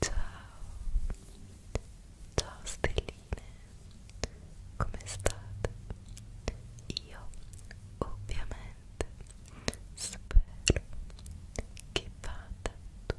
Ciao, ciao stelline, come state? Io ovviamente spero che vada tutto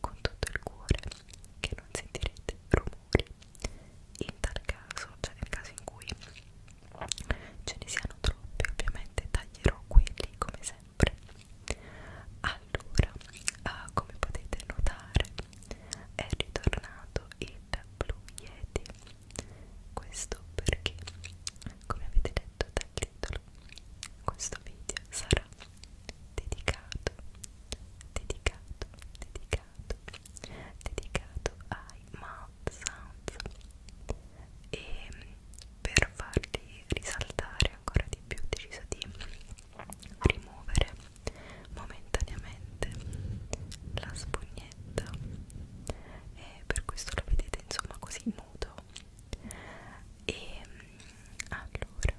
con tutto il cuore che non sentirete rumori in tal caso, cioè nel caso in cui ce ne siano troppi ovviamente taglierò quelli come sempre allora, ah, come potete notare è ritornato il Blue Yeti questo perché come avete detto dal titolo questo video sarà dedicato, dedicato, dedicato, dedicato ai mouth sounds e per farli risaltare ancora di più ho deciso di rimuovere momentaneamente la spugnetta e per questo lo vedete insomma così nudo e mm, allora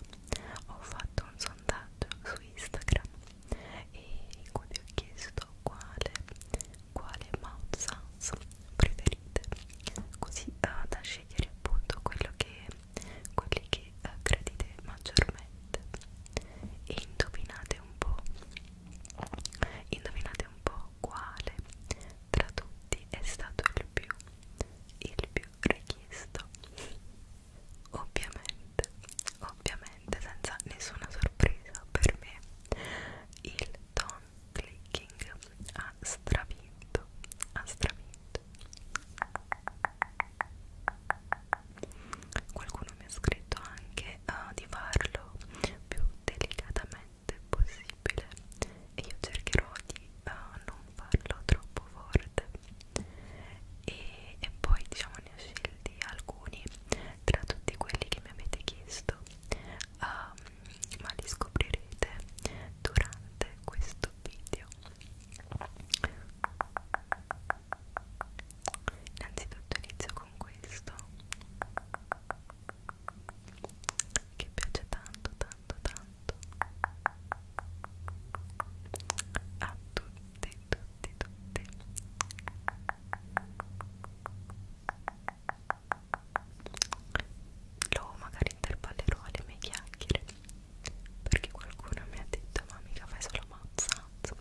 ho fatto un sondaggio su Instagram in cui vi ho chiesto quale, quale mouth sounds preferite così uh, da scegliere appunto quello che, quelli che uh, eh, credete maggiormente e indovinate un po' indovinate un po' quale tra tutti è stato il più il più richiesto ovviamente ovviamente senza nessuna sorpresa per me il Tom Clicking ha stravinto ha stravinto qualcuno mi ha scritto anche uh, di farlo più delicatamente possibile possibile e io cercherò di uh, non farlo troppo forte e, e poi diciamo ne ho scelti alcuni tra tutti quelli che mi avete chiesto um, ma li scoprirete durante questo video innanzitutto inizio con questo che piace tanto tanto tanto tanto a tutti tutti tutti lo magari intervallerò alle mie chiacchiere perché qualcuno mi ha detto ma mica fai solo mazzanzo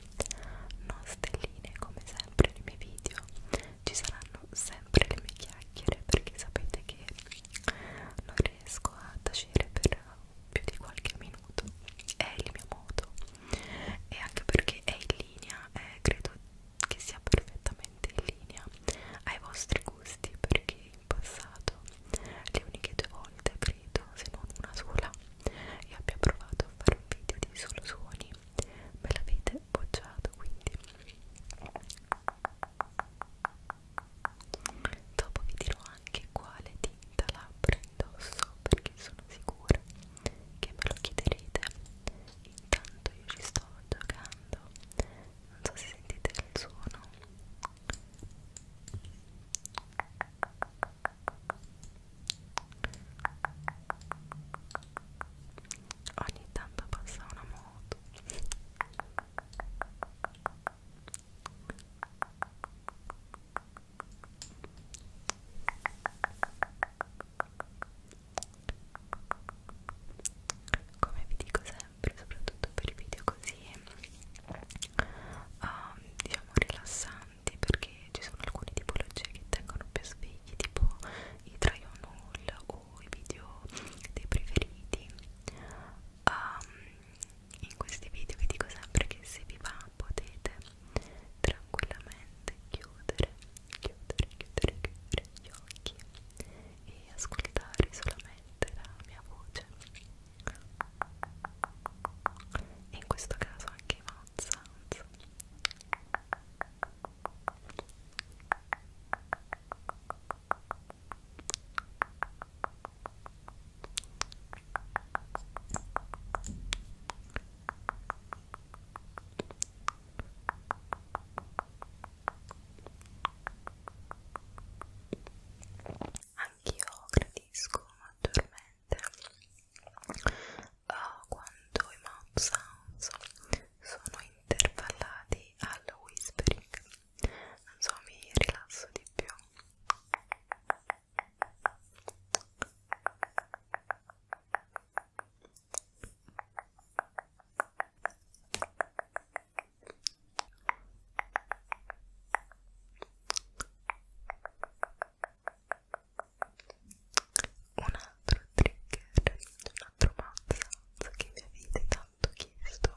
no stelline come sempre nei miei video ci saranno sempre le mie chiacchiere perché sapete che non riesco a tacere per più di qualche minuto è il mio modo e anche perché è in linea eh, credo che sia perfettamente in linea ai vostri gusti perché in passato le uniche due volte credo se non una sola io abbia provato a fare un video di solo suoni me l'avete bocciato quindi dopo vi dirò anche quale tinta labbra indosso perché sono sicura che me lo chiederete intanto io ci sto giocando non so se sentite il suono ogni tanto passa una moto come vi dico sempre, soprattutto per i video così um, diciamo rilassanti, perché ci sono alcune tipologie che tengono più svegli, tipo i try on haul o i video dei preferiti um, in questi video vi dico sempre che se vi va potete tranquillamente chiudere, chiudere, chiudere, chiudere gli occhi e ascoltare solamente la mia voce e in questo caso anche i mouth sounds Anch'io gradisco maggiormente uh, quando i mouth sounds sono intervallati al whispering non so mi rilasso di più un altro trigger, un altro mazzo che mi avete tanto chiesto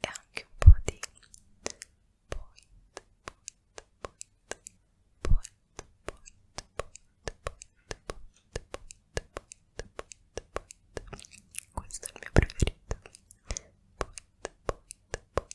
e anche un po' di point, point, point, point, point, point, point, point, point, questo è il mio preferito. Point, point, point,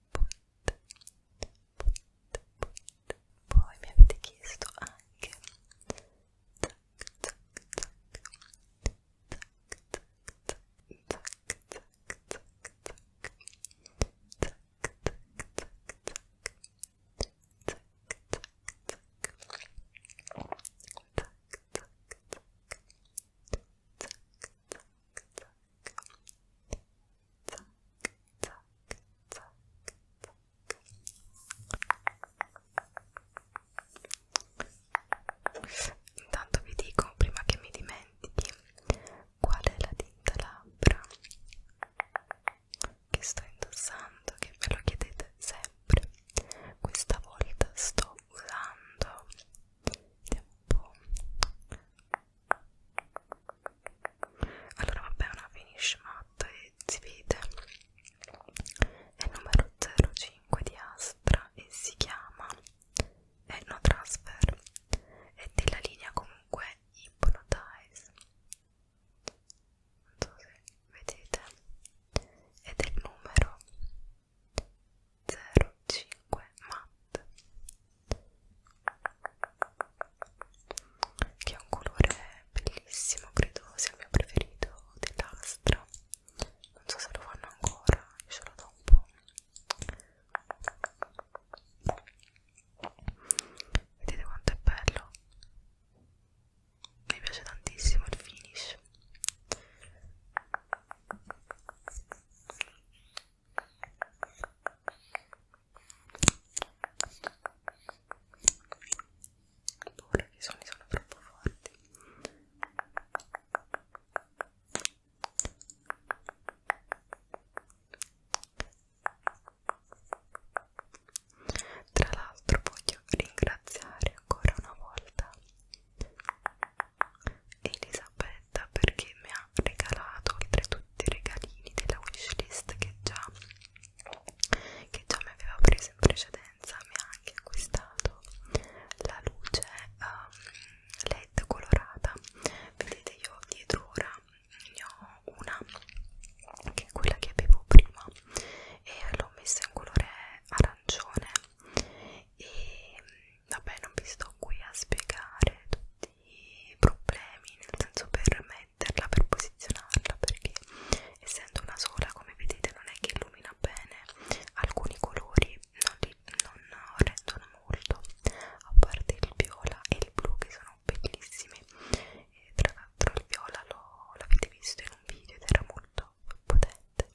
put, put, put. Poi mi avete chiesto anche tac, tac, tac, tac, tac, tac, tac, tac, tac. Tac, tac, tac, tac. Tac, tac, tac. Tac, tac, tac. Tac, tac, tac. zac, zac, zac, zac. Intanto vi dico prima che mi dimentichi qual è la tinta labbra che sto indossando, che me lo chiedete sempre. Questa volta sto usando vediamo un po' allora vabbè una finish matta e si vede è il numero 05 di Astra e si chiama Eno Transfer è della linea comunque Hypnotize non so se vedete è del numero 05 matte che è un colore bellissimo credo sia il mio preferito dell'astra non so se lo fanno ancora io ce l'ho da un po' vedete quanto è bello mi piace tantissimo il finish ho paura che i suoni sono troppo forti. Tra l'altro voglio ringraziare ancora una volta Elisabetta contenta perché mi ha regalato oltretutto i regalini della wishlist che già, che già mi aveva preso in precedenza mi ha anche acquistato la luce um, led colorata vedete io dietro ora ne ho una che è quella che avevo prima e l'ho messa in colore arancione e vabbè non vi sto qui a spiegare tutti i problemi nel senso per metterla per posizionarla perché essendo una sola come vedete non è che illumina bene alcuni colori non, li, non rendono molto a parte il viola e il blu che sono bellissimi e tra l'altro il viola l'avete visto in un video ed era molto potente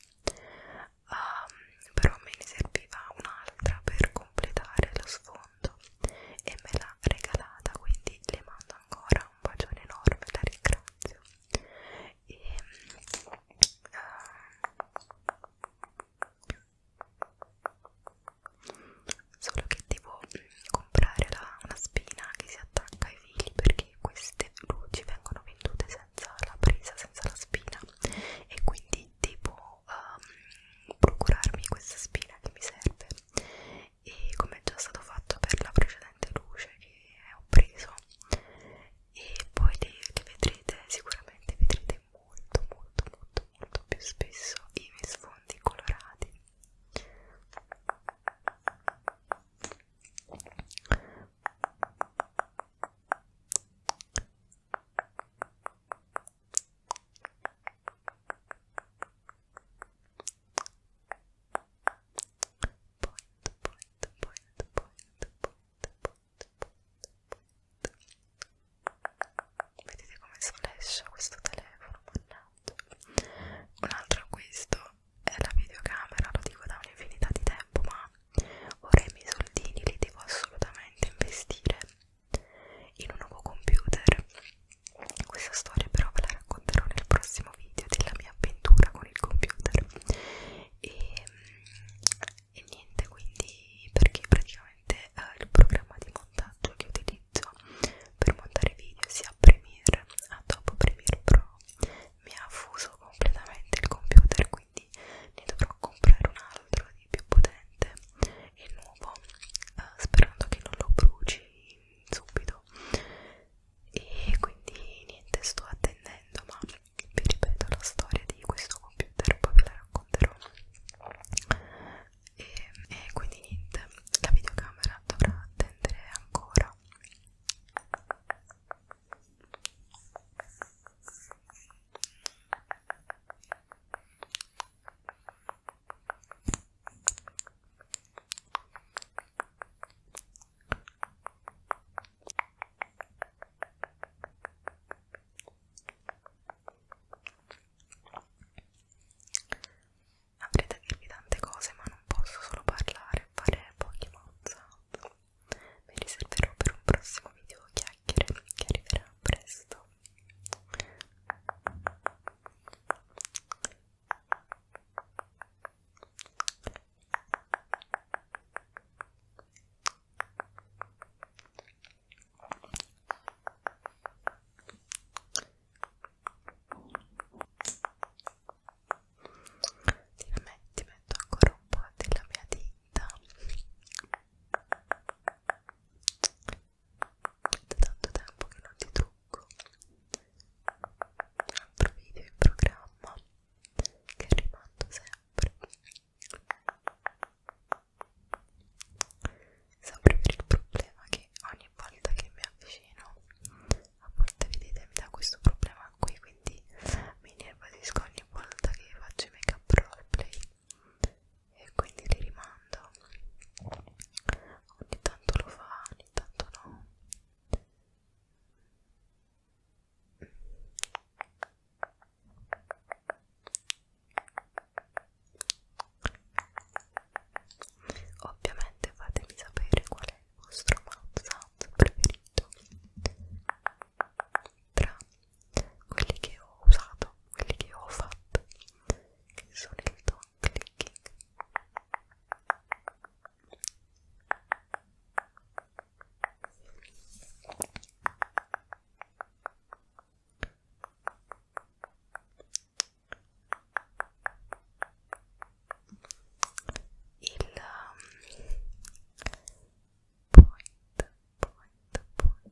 um, però me ne serviva un'altra per completare lo sfondo e me l'ha regalata quindi le mando ancora un bacione enorme la ringrazio e uh, solo che devo mm, comprare la, una spina che si attacca ai fili perché queste luci vengono vendute senza la presa senza la spina e quindi devo um, procurarmi questa spina che mi serve e come è già stato fatto per la precedente luce che ho preso e poi le, le vedrete sicuramente vedrete molto molto molto molto più spesso i miei sfondi colorati Vedete come sflascia questo telefono, mannaggia. Un altro acquisto è la videocamera, lo dico da un'infinità di tempo, ma ora i miei soldini li devo assolutamente investire in un nuovo computer. Questa storia però ve la racconterò nel prossimo video della mia avventura con il computer. E, mm, e niente, quindi perché praticamente eh, il programma di montaggio che utilizzo per montare video sia Premiere a dopo Premiere Pro mi ha fuso completamente il computer, quindi ne dovrò comprare un altro il più potente e nuovo eh, sperando che non lo bruci subito e quindi niente sto attendendo ma vi ripeto la storia di questo computer poi ve la racconterò e, e quindi niente la videocamera dovrà attendere ancora Avrei da dirvi tante cose, ma non posso solo parlare e fare pochi WhatsApp. Mi riserverò per un prossimo video chiacchiere che arriverà presto. Ti metto ancora un po' della mia tinta vita da tanto tempo che non ti trucco un altro video in programma che rimando sempre sempre per il problema che ogni volta che mi avvicino a volte vedetemi da questo problema qui quindi mi nervosisco ogni volta che faccio i make up roleplay e quindi li rimando ogni tanto lo fa ogni tanto no ovviamente fatemi sapere qual è il vostro WhatsApp preferito tra quelli che ho usato, quelli che ho fatto, che sono il top clicking. Il um, point, point, point,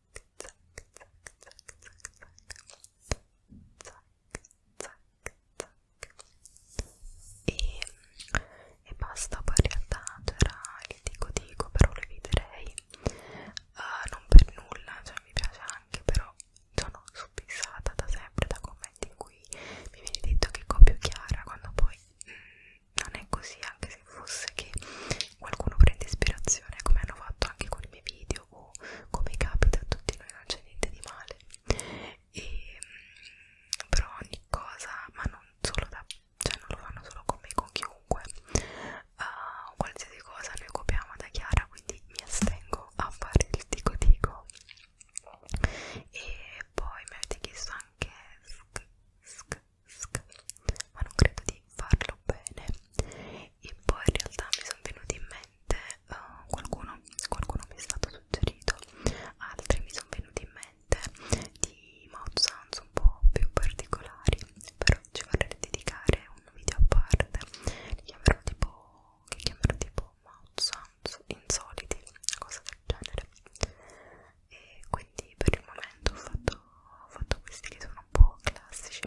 zac, zac, zac, zac, zac, zac, zac. E, e basta, poi in realtà c'era il dico dico, però lo eviterei uh, non per nulla, cioè mi piace anche, però sono subissata da sempre da commenti in cui mi viene detto che copio Chiara quando poi mh, mm, non è così, anche se fosse che qualcuno prende ispirazione come hanno fatto anche con i miei video sbaglio o come capita a tutti noi non c'è niente di male e, mm, però ogni cosa ma non solo da cioè non lo fanno solo con me con chiunque uh, qualsiasi cosa noi copiamo da Chiara quindi mi astengo a fare il tico tico e poi mi avete chiesto anche sk, sk, sk, ma non credo di farlo bene e poi in realtà mi sono venuti in mente uh, qualcuno, qualcuno mi è stato suggerito altri mi sono venuti in mente di mouth sounds un po' più particolari però ci vorrei dedicare un video a parte li chiamerò tipo che chiamerò tipo mouth sounds insoliti una cosa del genere e quindi per il momento ho fatto ho fatto questi che sono un po' classici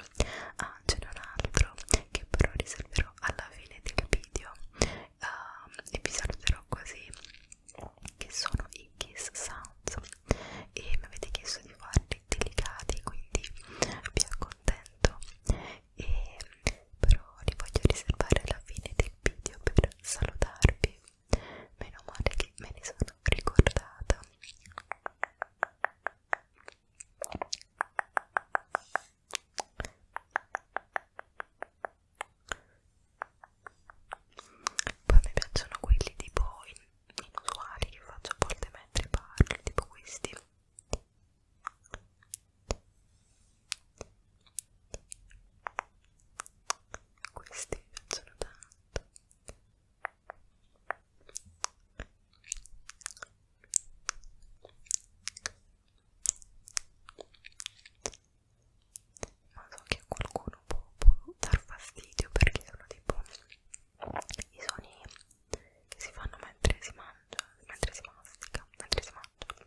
ah ce n'è un altro che però riserverò alla fine del video uh, e vi saluterò così che sono i kiss sounds e mi avete chiesto di farli delicati quindi vi accontento e però li voglio riservare alla fine del video per salutarvi meno male che me ne sono ricordata poi mi piacciono quelli tipo inusuali che faccio a volte mentre parlo, tipo questi. Questi mi piacciono tanto ma so che a qualcuno può, può dar fastidio perché sono tipo i suoni che si fanno mentre si mangia, mentre si mastica, mentre si mangia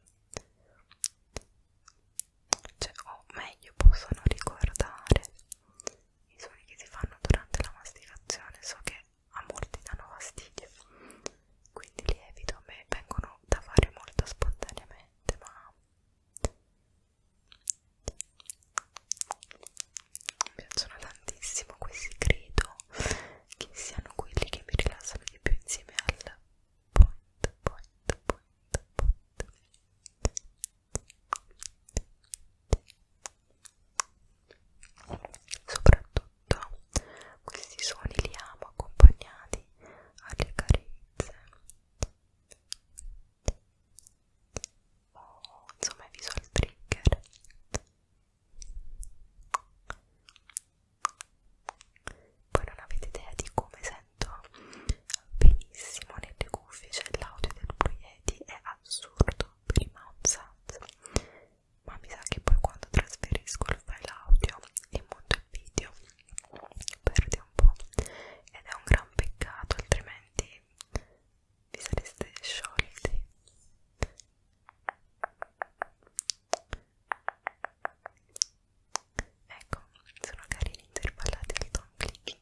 cioè, o meglio possono ricordare i suoni che si fanno durante la masticazione so che me a molti danno fastidio quindi li evito a me vengono da fare molto spontaneamente ma mi piacciono tantissimo questi credo che siano quelli che mi rilassano di più insieme al point point point point Soprattutto questi suoni li amo accompagnati alle carezze o oh, insomma ai visual trigger. Poi non avete idea di come sento benissimo nelle cuffie, cioè l'audio del Blue Yeti è assurdo, tutto prima un sat ma mi sa che poi quando trasferisco il file audio e monto il video perde un po' ed è un gran peccato altrimenti vi sareste sciolti ecco sono carini intervallati al tom clicking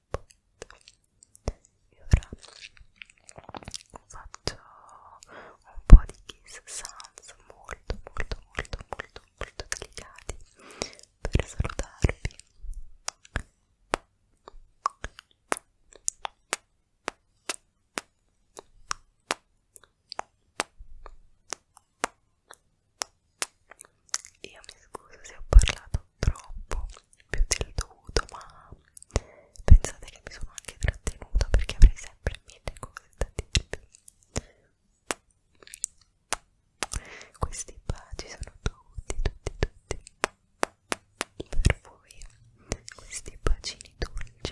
e ora faccio un po' di kiss sounds molto molto molto molto molto delicati per salutarvi io mi scuso se ho parlato troppo più del dovuto ma pensate che mi sono anche trattenuta perché avrei sempre mille cose da dirvi questi baci sono tutti tutti tutti per voi questi bacini dolci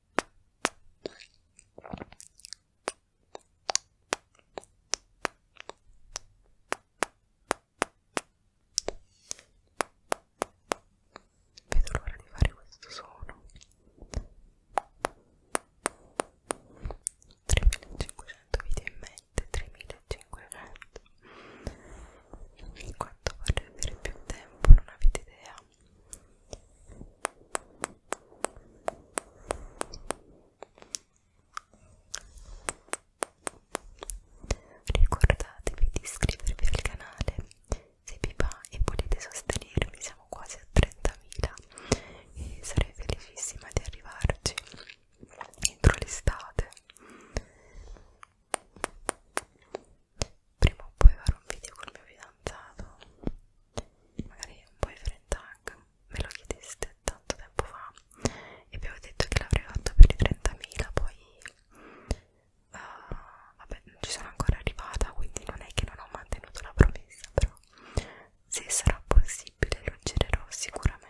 vedo l'ora di fare questo suono 3500 video in mente 3500 quanto vorrei avere più tempo non avete idea Ricordatevi di iscrivervi al canale se vi va e volete sostenermi, siamo quasi a 30.000 e sarei felicissima di arrivarci entro l'estate prima o poi farò un video col mio fidanzato magari un po' di friend tag me lo chiedeste tanto tempo fa e avevo detto che l'avrei fatto per i 30.000 poi uh, vabbè non ci sono ancora arrivata quindi non è che non ho mantenuto la promessa però se sarà possibile lo girerò sicuramente